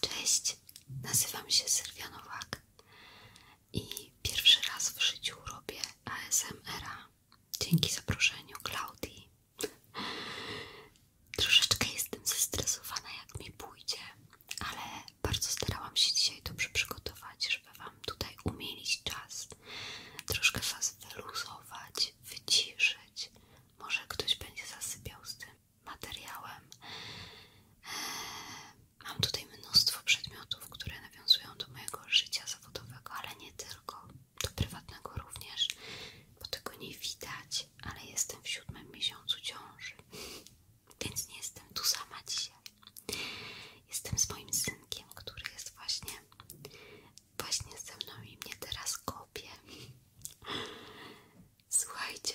Cześć, nazywam się Sylwia i pierwszy raz w życiu robię ASMR-a dzięki zaproszeniu Klaudii. Troszeczkę jestem zestresowana jak mi pójdzie, ale bardzo starałam się dzisiaj dobrze przygotować, żeby Wam tutaj umielić czas, troszkę Was wyluzować, wyciszyć. Może ktoś będzie zasypiał z tym, materiałem. Eee, mam tutaj mnóstwo przedmiotów, które nawiązują do mojego życia zawodowego, ale nie tylko, do prywatnego również, bo tego nie widać, ale jestem w siódmym miesiącu ciąży, więc nie jestem tu sama dzisiaj. Jestem z moim synkiem, który jest właśnie, właśnie ze mną i mnie teraz kopie. Słuchajcie,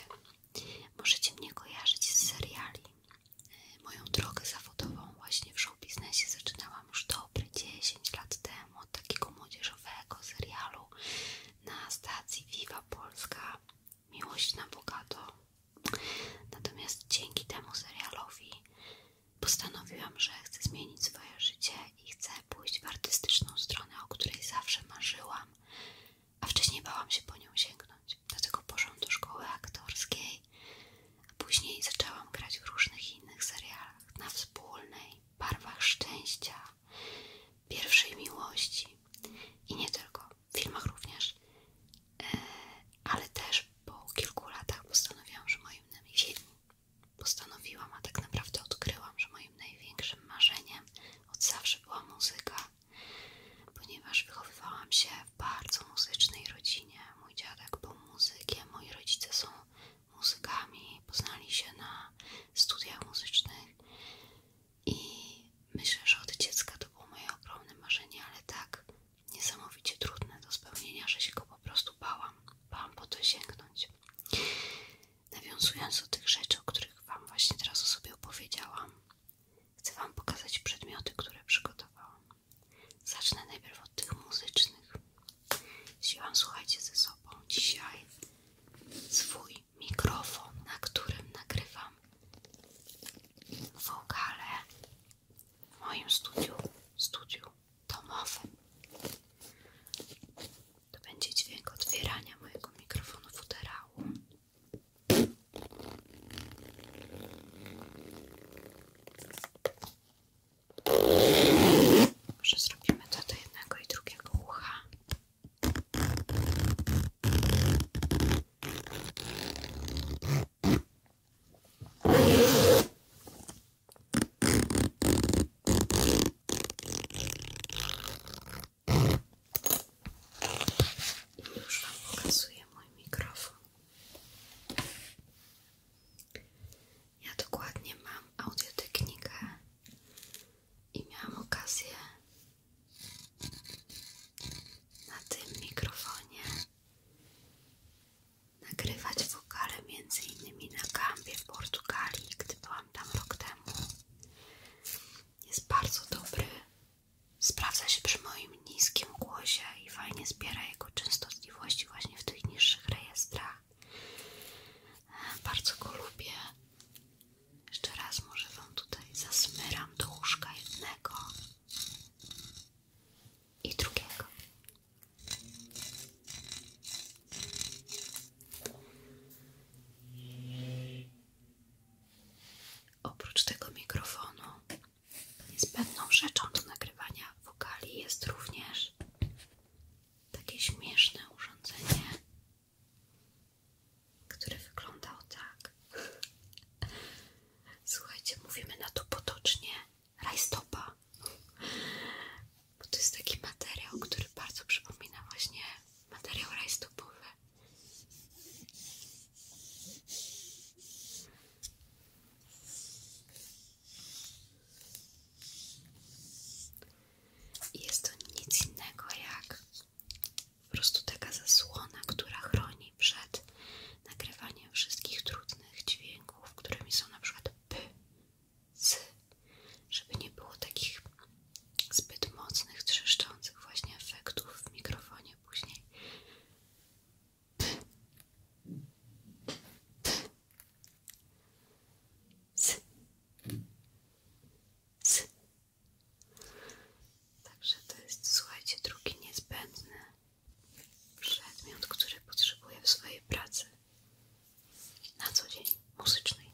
możecie mnie kojarzyć z seriali. E, moją drogę zawodową właśnie w show biznesie zaczynałam już dobre 10 lat temu od takiego młodzieżowego serialu na stacji Viva Polska Miłość na bogato. Natomiast dzięki temu serialowi postanowiłam, że chcę zmienić swoje życie i chcę pójść w artystyczną stronę, o której zawsze marzyłam, a wcześniej bałam się po nią sięgnąć. Dlatego poszłam do szkoły aktorskiej, a później zaczęłam grać w różnych innych serialach na wspólnej, barwach szczęścia, pierwszej miłości i nie tylko, w filmach również, e, ale też po kilku latach postanowiłam, że moim postanowiłam, a tak naprawdę odkryłam, że moim największym marzeniem od zawsze była muzyka, ponieważ wychowywałam się w bardzo muzycznej rodzinie. Mój dziadek był muzykiem, moi rodzice są muzykami, poznali się na studiach muzycznych i myślę, że od dziecka to było moje ogromne marzenie, ale tak niesamowicie trudne do spełnienia, że się go po prostu bałam. Bałam po to sięgnąć. Nawiązując do tych rzeczy, o których Wam właśnie teraz o sobie opowiedziałam, chcę Wam pokazać przedmioty, które przygotowałam. Zacznę najpierw od tych muzycznych. wam słuchajcie, ze sobą dzisiaj swój mikrofon, na którym nagrywam wokale w moim studiu, studiu domowym. To będzie dźwięk otwierania mojego mikrofonu futerału. Może zrobimy to do jednego i drugiego ucha. Już Wam pokazuję mój mikrofon. Ja dokładnie mam audiotechnikę i miałam okazję na tym mikrofonie nagrywać wokale między innymi na Gambie w Portugalii, gdy byłam tam rok temu jest bardzo dobry. Sprawdza się przy moim niskim głosie i fajnie zbiera jego częstotliwości właśnie w tych niższych rejestrach. Bardzo go lubię. Jeszcze raz może Wam tutaj zasmyram do łóżka jednego i drugiego. Oprócz tego mikrofonu niezbędną rzeczą do nagrywania wokali jest również takie śmieszne urządzenie, które wyglądało tak. Słuchajcie, mówimy na to potocznie rajstopa, bo to jest taki materiał, który bardzo przypomina właśnie materiał rajstopów. Jest to nic innego jak po prostu taka zasłona, która chroni przed nagrywaniem wszystkich trudnych dźwięków, którymi są na przykład p, z, żeby nie było takich zbyt mocnych, trzeszczących właśnie efektów w mikrofonie później. Z, z. Także to jest, słuchajcie, drugi niezbędny przedmiot, który potrzebuję w swojej pracy na co dzień muzycznej.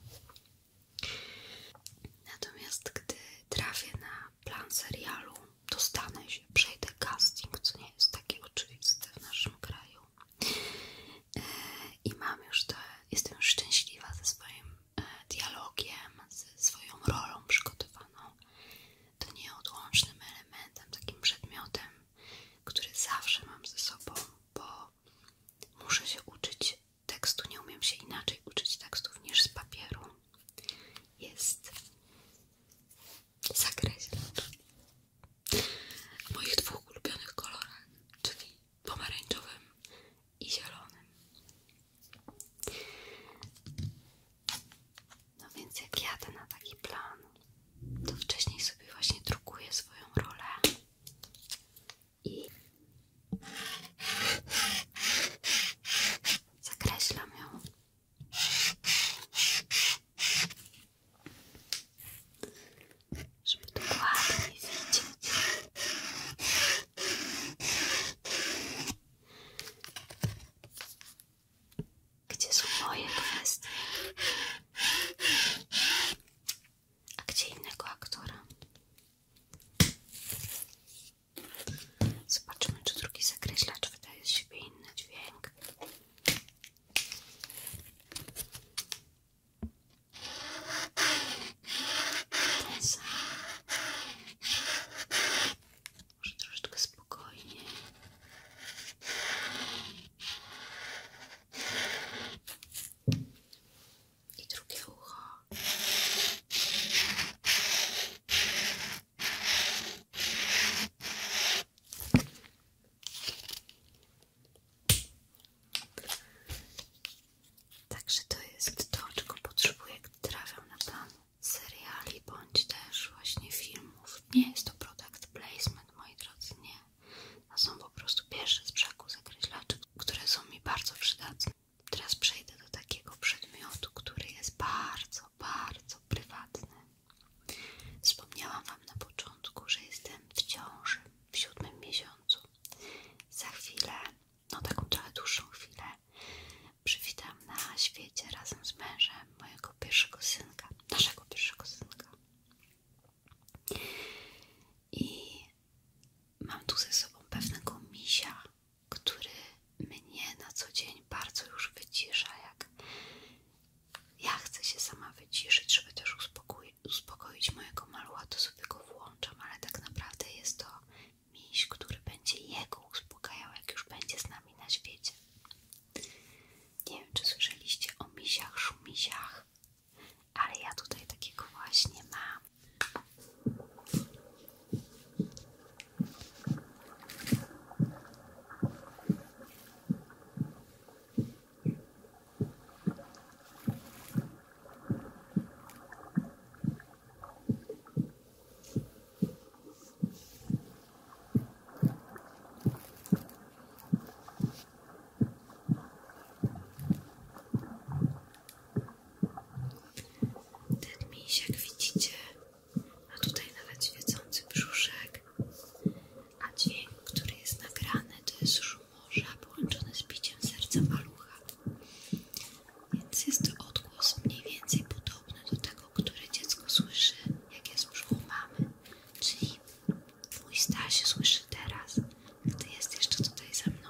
Natomiast gdy trafię na plan serialu, dostanę się, przejdę casting, co nie jest takie oczywiste w naszym kraju. E, I mam już to, jestem już szczęśliwa ze swoim e, dialogiem, ze swoją rolą przygotowaną. To nieodłącznym elementem, takim przedmiotem, który zawsze mam ze sobą, bo muszę się uczyć tekstu nie umiem się inaczej uczyć tekstów niż z papieru jest zakreślacz w moich dwóch ulubionych kolorach czyli pomarańczowym i zielonym no więc jak jadę na taki plan to wcześniej sobie właśnie drukuję swoją rolę i zakreślam ją. Żeby dokładnie widzieć. Gdzie są moje kwestie? A gdzie innego aktora? Zobaczmy, czy drugi czy wydaje z siebie inny dźwięk. Ten sam. Może troszeczkę spokojniej i drugie ucho. Także to jest to, czego potrzebuję, gdy trafiam na plan seriali bądź też właśnie filmów. Nie jest to product placement, moi drodzy, nie są po prostu pierwsze z brzegu zakreślaczy, które są mi bardzo przydatne. Teraz przejdę do takiego przedmiotu, który jest bardzo, bardzo prywatny. Wspomniałam Wam na początku, że jestem w ciąży w siódmym miesiącu. Za chwilę, no taką trochę dłuższą chwilę, przywitam na świecie razem z mężem mojego pierwszego synka, naszego pierwszego synka. I mam tu ze sobą pewnego misia, który mnie na co dzień bardzo już wycisza. Jak ja chcę się sama wyciszyć, żeby też uspokoić, uspokoić mojego malucha, to sobie go włączam, ale tak naprawdę jest to miś, który będzie jego uspokajał, jak już będzie z nami na świecie. Nie wiem, czy słyszeliście o misiach, szumisiach ale ja tutaj takiego właśnie mam. Ten jak widzicie, ma tutaj nawet świecący brzuszek, a dźwięk, który jest nagrany, to jest szum morza połączony z biciem serca malucha. Więc jest to odgłos mniej więcej podobny do tego, który dziecko słyszy, jak jest w brzuchu mamy. Czyli mój Staś słyszy teraz, gdy jest jeszcze tutaj ze mną.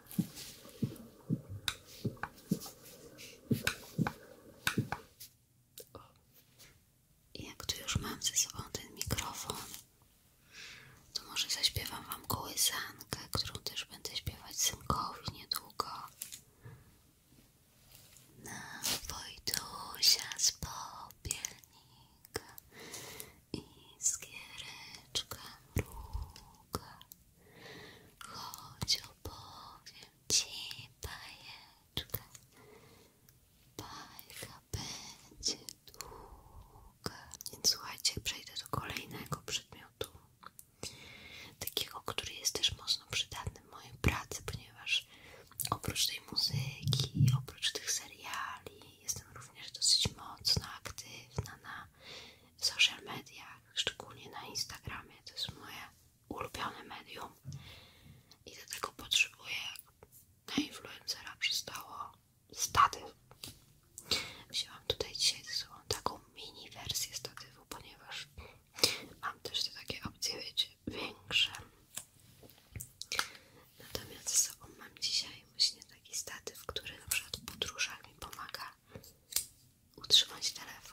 jak tu już mam ze sobą ten mikrofon, to może zaśpiewam wam kołysankę, którą też będę śpiewać synkowi niedługo. Na Wojtusia z popielnika Iskiereczka mruga Chodź opowiem ci bajeczkę Bajka będzie długa Więc słuchajcie, przejdę do kolejnego przedmiotu Takiego, który jest też mocno przydatny w mojej pracy Ponieważ oprócz tej muzyki, oprócz tych seriali jestem również dosyć mocno aktywna na social mediach, szczególnie na Instagramie. To jest moje ulubione medium i do tego potrzebuję na influencera przystało statyw. Wzięłam tutaj dzisiaj ze sobą taką mini wersję statywu, ponieważ mam też te takie opcje, większe. Natomiast ze sobą mam dzisiaj tutaj właśnie taki statyw, który na przykład w podróżach mi pomaga utrzymać telefon.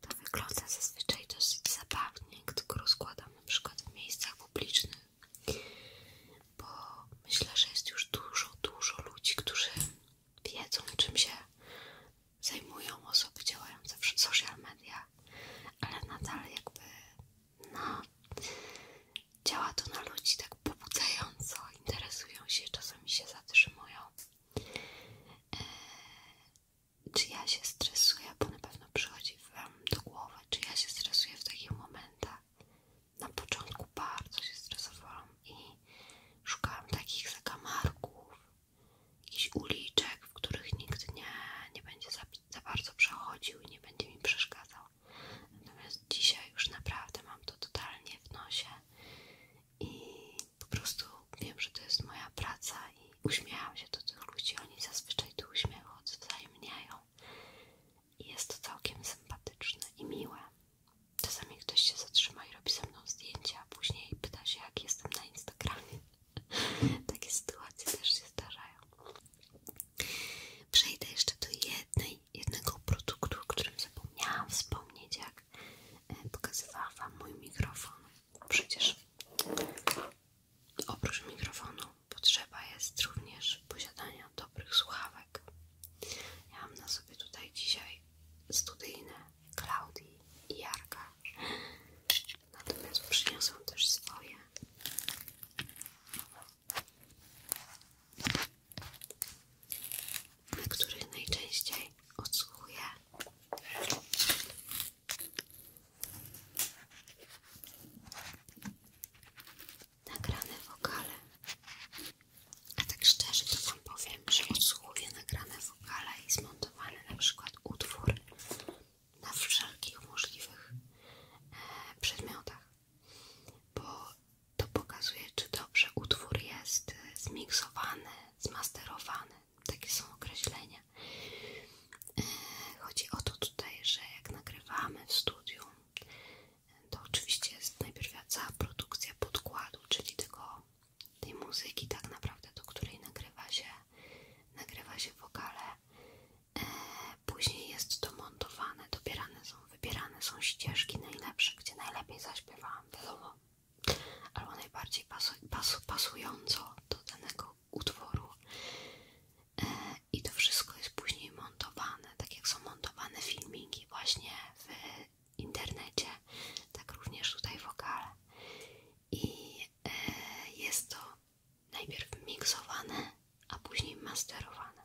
To wygląda zazwyczaj dosyć zabawnie, gdy go rozkładam na w miejscach publicznych, bo myślę, że jest już dużo, dużo ludzi, którzy wiedzą, czym się zajmują osoby działające w social media, ale nadal jakby no, działa to na ludzi tak pobudzająco, interesują się, czasami się zatrzymują. E, czy ja się stresuję, bo na pewno przychodzi Wam do głowy, czy ja się stresuję w takich momentach. Na początku bardzo się stresowałam i szukałam takich zakamarków, jakichś uliczek, w których nikt nie, będzie za, bardzo przechodził i nie będzie mi przeszkadzał. Natomiast dzisiaj już naprawdę mam to totalnie w nosie i po prostu wiem, że to jest moja praca i uśmiecham się do tych ludzi. Oni zazwyczaj tu uśmiechu odwzajemniają i jest to całkiem sympatyczne i miłe. Czasami ktoś się zatrzyma i robi ze mną zdjęcia, a później pyta się, jak jestem na Instagramie. Takie sytuacje też się zdarzają. Przejdę jeszcze do jednej, jednego produktu, o którym zapomniałam wspomnieć, jak e, pokazywałam Wam mój mikrofon. Przecież oprócz mikrofonu potrzeba jest również posiadania dobrych słuchawek. Ja mam na sobie tutaj dzisiaj studyjne Klaudii i Jarka. Natomiast przyniosą też swoje. Na których najczęściej odsłuchuję. Nagrane wokale. A tak szczerze to Wam powiem, że odsłuchuję nagrane wokale i zmontowany na przykład utwór na wszelkich możliwych e, przedmiotach, bo to pokazuje, czy dobrze utwór jest e, zmiksowany, zmasterowany. Takie są określenia. E, chodzi o to tutaj, że jak nagrywamy w studiu, to oczywiście jest najpierw cała produkcja podkładu, czyli tego, tej muzyki tak naprawdę, do której nagrywa się nagrywa się wokale, e, później jest to montowane, dobierane są, wybierane są ścieżki najlepsze, gdzie najlepiej zaśpiewałam, wiadomo, albo najbardziej pasu, pasująco do danego utworu. E, I to wszystko jest później montowane, tak jak są montowane filmiki właśnie w internecie, tak również tutaj wokale i e, jest to najpierw miksowane, a później masterowane.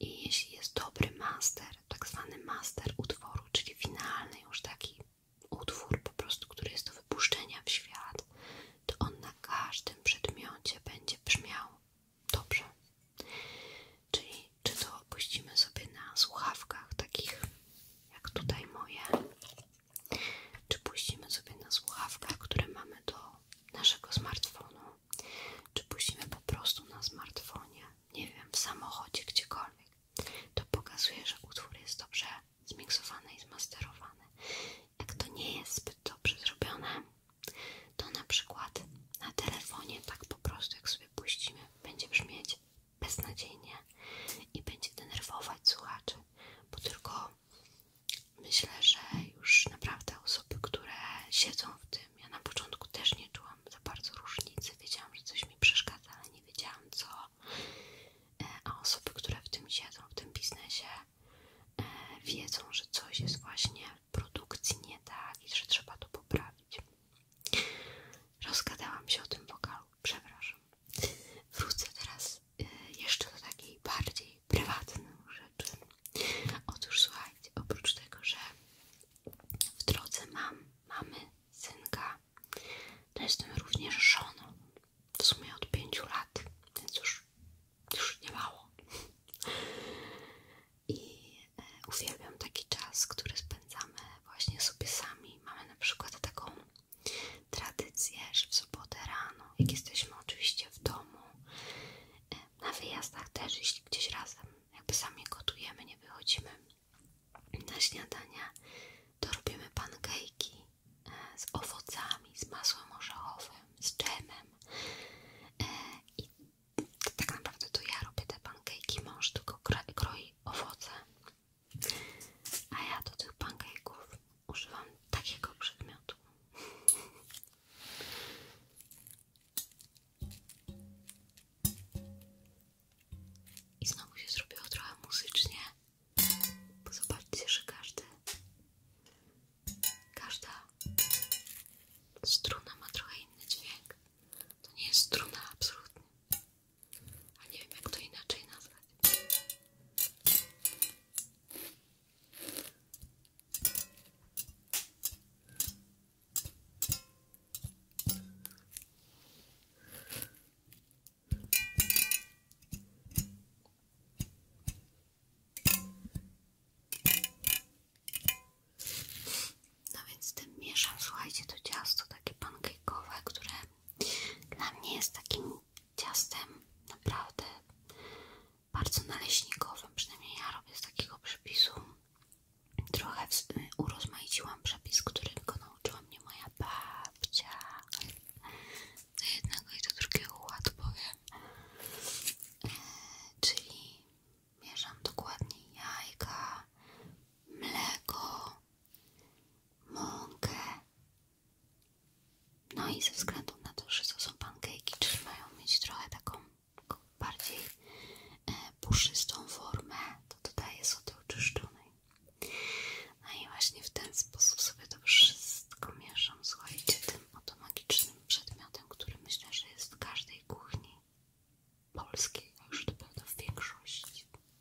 I jeśli jest dobry master, tak zwany master utworu, czyli finalny już taki utwór po prostu, który jest do wypuszczenia w świat, to on na każdym przedmiocie będzie brzmiał dobrze. Czyli czy to opuścimy sobie na słuchawkach takich jak tutaj moje, czy puścimy sobie na słuchawkach, które mamy do naszego smartfonu, czy puścimy po prostu na smartfonie, nie wiem, w samochodzie, gdziekolwiek, to pokazuje, że utwór jest dobrze zmiksowany i zmasterowany. Jak to nie jest zbyt dobrze zrobione, to na przykład na telefonie, tak po prostu jak sobie puścimy, będzie brzmieć beznadziejnie i będzie denerwować słuchaczy, bo tylko myślę, że już naprawdę osoby, które siedzą w tym, ja na początku też nie czułam za bardzo różnicy, wiedziałam, że coś mi przeszkadza, ale nie wiedziałam co, e, a osoby, które w tym siedzą, w tym biznesie, e, wiedzą, że coś jest właśnie w produkcji nie tak i że trzeba to poprawić. Rozgadałam się o tym wokalu przepraszam. Wrócę teraz e, jeszcze do takiej bardziej prywatnej rzeczy. Otóż słuchajcie, oprócz tego, że w drodze mam, mamy synka, to jestem również żoną. W sumie od pięciu lat, więc już, już nie mało. I e, uwielbiam taki czas, który spędzamy właśnie sobie sami. Mamy na przykład taką tradycje, że w sobotę rano, jak jesteśmy oczywiście w domu, e, na wyjazdach też, jeśli gdzieś razem, jakby sami gotujemy, nie wychodzimy na śniadania, to robimy pankejki e, z owocami, z masłem orzechowym, z dżemem e, i tak naprawdę to ja robię te pankejki, mąż tylko kroi owoce a ja do tych pancake'ów używam takiego przedmiotu. I znowu się zrobiło trochę muzycznie, bo zobaczcie, że każdy, każda struna ma trochę inny dźwięk. To nie jest struna absolutnie. A nie wiem jak to inaczej nazwać. No więc tym mieszam, słuchajcie, to takie pancake'owe, które dla mnie jest takim ciastem naprawdę bardzo naleśnikowym, przynajmniej ja robię z takiego przepisu. Trochę urozmaiciłam przepis, którego nauczyła mnie moja babcia. Do jednego i do drugiego ład powiem. E, czyli mieszam dokładnie jajka, mleko, mąkę, no i ze względu na to, że to są pancake'i, czyli mają mieć trochę taką bardziej e, puszystą formę, to dodaję sody oczyszczonej. No i właśnie w ten sposób sobie to wszystko mieszam, słuchajcie, tym oto magicznym przedmiotem, który myślę, że jest w każdej kuchni polskiej, a już to prawda w większości.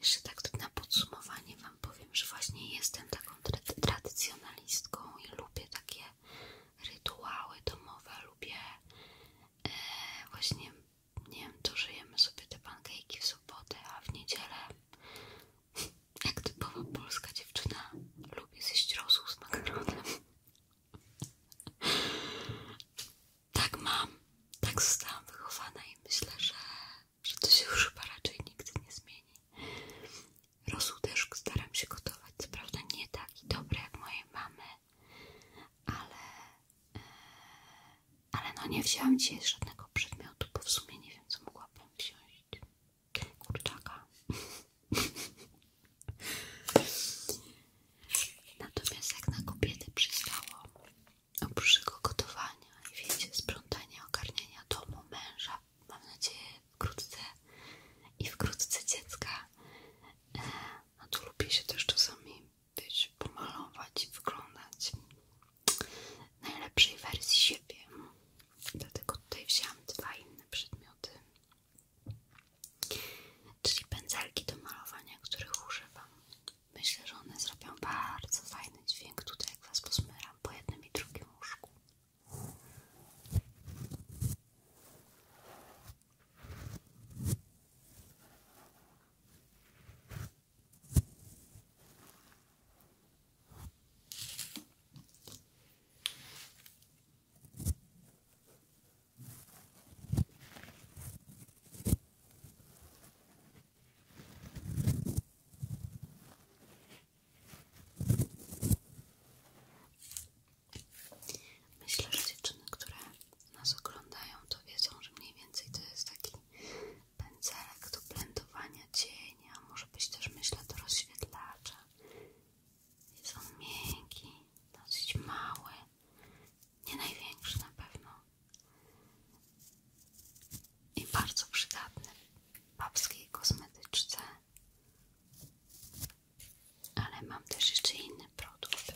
Jeszcze tak na podsumowanie Wam powiem, że właśnie jestem taką tradycjonalistką i lubię takie rytuały domowe, lubię e, właśnie, nie wiem, to żyjemy sobie te pankejki w sobotę, a w niedzielę, jak typowa polska dziewczyna, lubię zjeść rosół z makaronem. Tak mam, tak zostałam wychowana i myślę, że, że to się już chyba raczej nigdy nie zmieni. Rosół też staram się gotować, co prawda nie taki dobry jak mojej mamy, ale, e, ale no nie wzięłam dzisiaj żadnego przedmiotu, bo w sumie nie wiem co mogłabym wziąć. Kurczaka. Natomiast jak na kobiety przystało, oprócz gotowania i wiecie, sprzątania, ogarniania domu, męża, mam nadzieję wkrótce i wkrótce dziecka, no tu lubię się też czasami, wiecie, pomalować i wyglądać najlepszej wersji siebie. Dlatego tutaj wzięłam dwa inne przedmioty, czyli pędzelki do malowania, których używam Myślę, że one zrobią bardzo fajny dźwięk tutaj, jak was posmyram po jednym i drugim łóżku. Myślę, że dziewczyny, które nas oglądają, to wiedzą, że mniej więcej to jest taki pędzelek do blendowania cienia, może być też myślę do rozświetlacza. Jest on miękki, dosyć mały, nie największy na pewno. I bardzo przydatny w babskiej kosmetyczce. Ale mam też jeszcze inny produkt.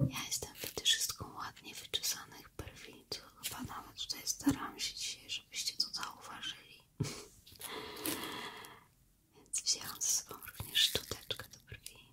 Ja jestem wtedy, fetyszystką ładnie wyczesanych brwi, co chyba nawet tutaj staram się żebyście to zauważyli. Więc wzięłam ze sobą również szczoteczkę do brwi.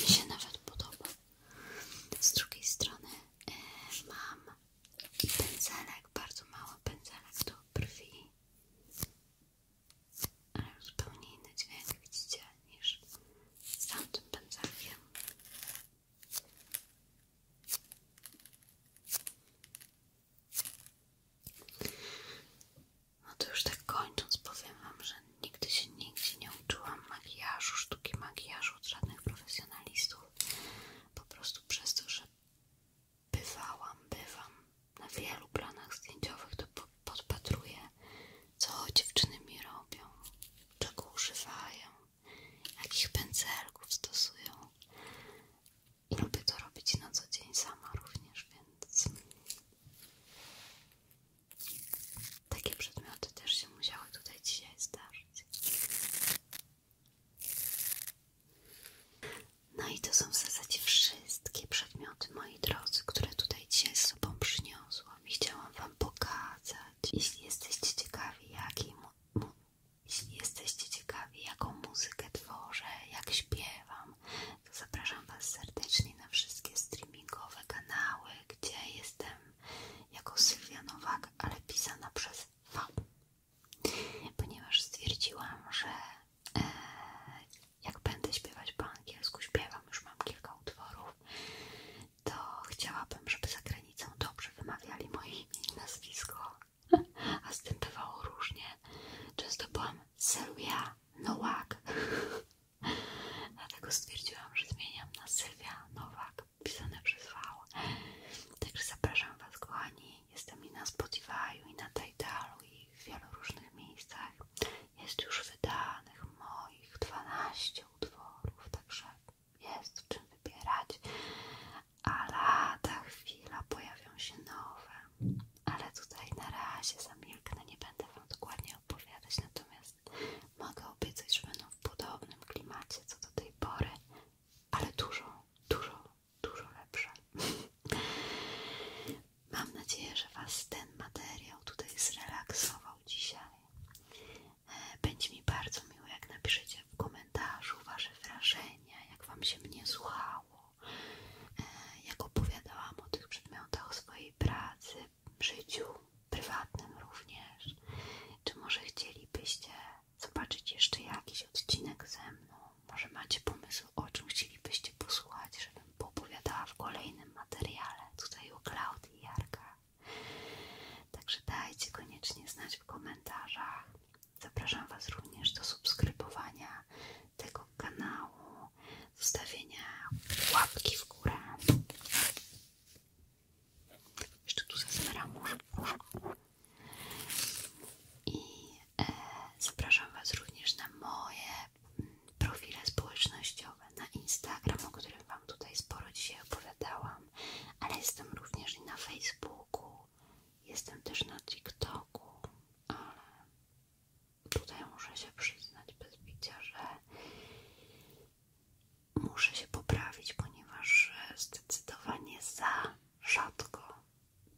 mi się nawet podoba. Z drugiej strony y, mam pędzelek, bardzo mały pędzelek do brwi, ale zupełnie inny dźwięk widzicie niż z tamtym pędzelkiem. No to już tak kończąc powiem wam, że Nigdy się nigdzie nie uczyłam makijażu, sztuki makijażu od żadnych profesjonalistów. Po prostu przez to, że bywałam, bywam na wielu planach zdjęciowych, to podpatruję, co dziewczyny mi robią, czego używają, jakich pędzelków stosują. I lubię to robić na co dzień sama również, więc takie przedmioty też się musiały tutaj dzisiaj zdarzyć. No i to są w zasadzie wszystkie przedmioty, moi drodzy, które tutaj dzisiaj z sobą przyniosłam i chciałam wam pokazać. Jeśli jesteście ciekawi, jakiej mu, jeśli jesteście ciekawi, jaką muzykę tworzę, jak śpiewam, to zapraszam was serdecznie na wszystkie streamingowe kanały, gdzie jestem jako Sylwia Nowak, ale pisana przez fab, Ponieważ stwierdziłam, że e, jak będę śpiewać po angielsku, śpiewam, już mam kilka utworów, to chciałabym, żeby za granicą dobrze wymawiali moje imię i nazwisko, a z tym bywało różnie. Często byłam Sylwia Nowak. Dlatego stwierdziłam, że zmieniam na Sylwia Nowak, pisane przez V. Także zapraszam Was, kochani. Jestem i na Spotify, i na Tidalu, i w wielu różnych miejscach. Jest już wydanych moich 12 utworów, także jest w czym wybierać. A lata chwila pojawią się nowe. Ale tutaj na razie zamilknę, nie będę Wam dokładnie opowiadać, natomiast Mogę obiecać, że będą w podobnym klimacie co do tej pory, ale dużo, dużo, dużo lepsze. Mam nadzieję, że Was ten materiał tutaj zrelaksował dzisiaj. E, będzie mi bardzo miło, jak napiszecie w komentarzu Wasze wrażenia, jak Wam się mnie słuchało, e, jak opowiadałam o tych przedmiotach swojej pracy, w życiu prywatnym również. Czy może chcielibyście zobaczyć jeszcze jakiś odcinek ze mną? Może macie pomysł, o czym chcielibyście posłuchać, żebym poopowiadała w kolejnym materiale tutaj o Klaudii Jarka. Także dajcie koniecznie znać w komentarzach. Zapraszam Was również do subskrybowania tego kanału, zostawienia łapki w górę jeszcze tu zazbieram. I e, zapraszam Was również na moje mm, profile społecznościowe, na Instagram, o którym Wam tutaj sporo dzisiaj opowiadałam, ale jestem również i na Facebooku, jestem też na TikToku, ale tutaj muszę się przyznać bez bicia, że muszę się poprawić, ponieważ zdecydowanie za rzadko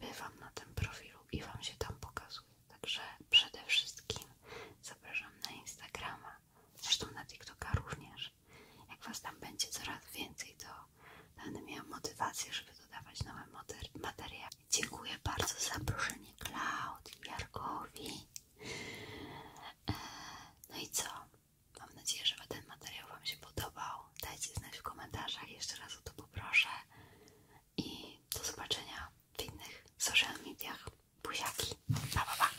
bywam na tym profilu i Wam się tam pokazuję. Także przede wszystkim zapraszam na Instagrama, zresztą na TikToka również. Jak Was tam będzie coraz więcej, to będę miała motywację, żeby dodawać nowe mater materiały. Dziękuję bardzo za zaproszenie Klaud i Jarkowi. No i co? Mam nadzieję, że ten materiał Wam się podobał. Dajcie znać w komentarzach, jeszcze raz o to poproszę. I do zobaczenia w innych social mediach. Buziaki. Pa, pa, pa.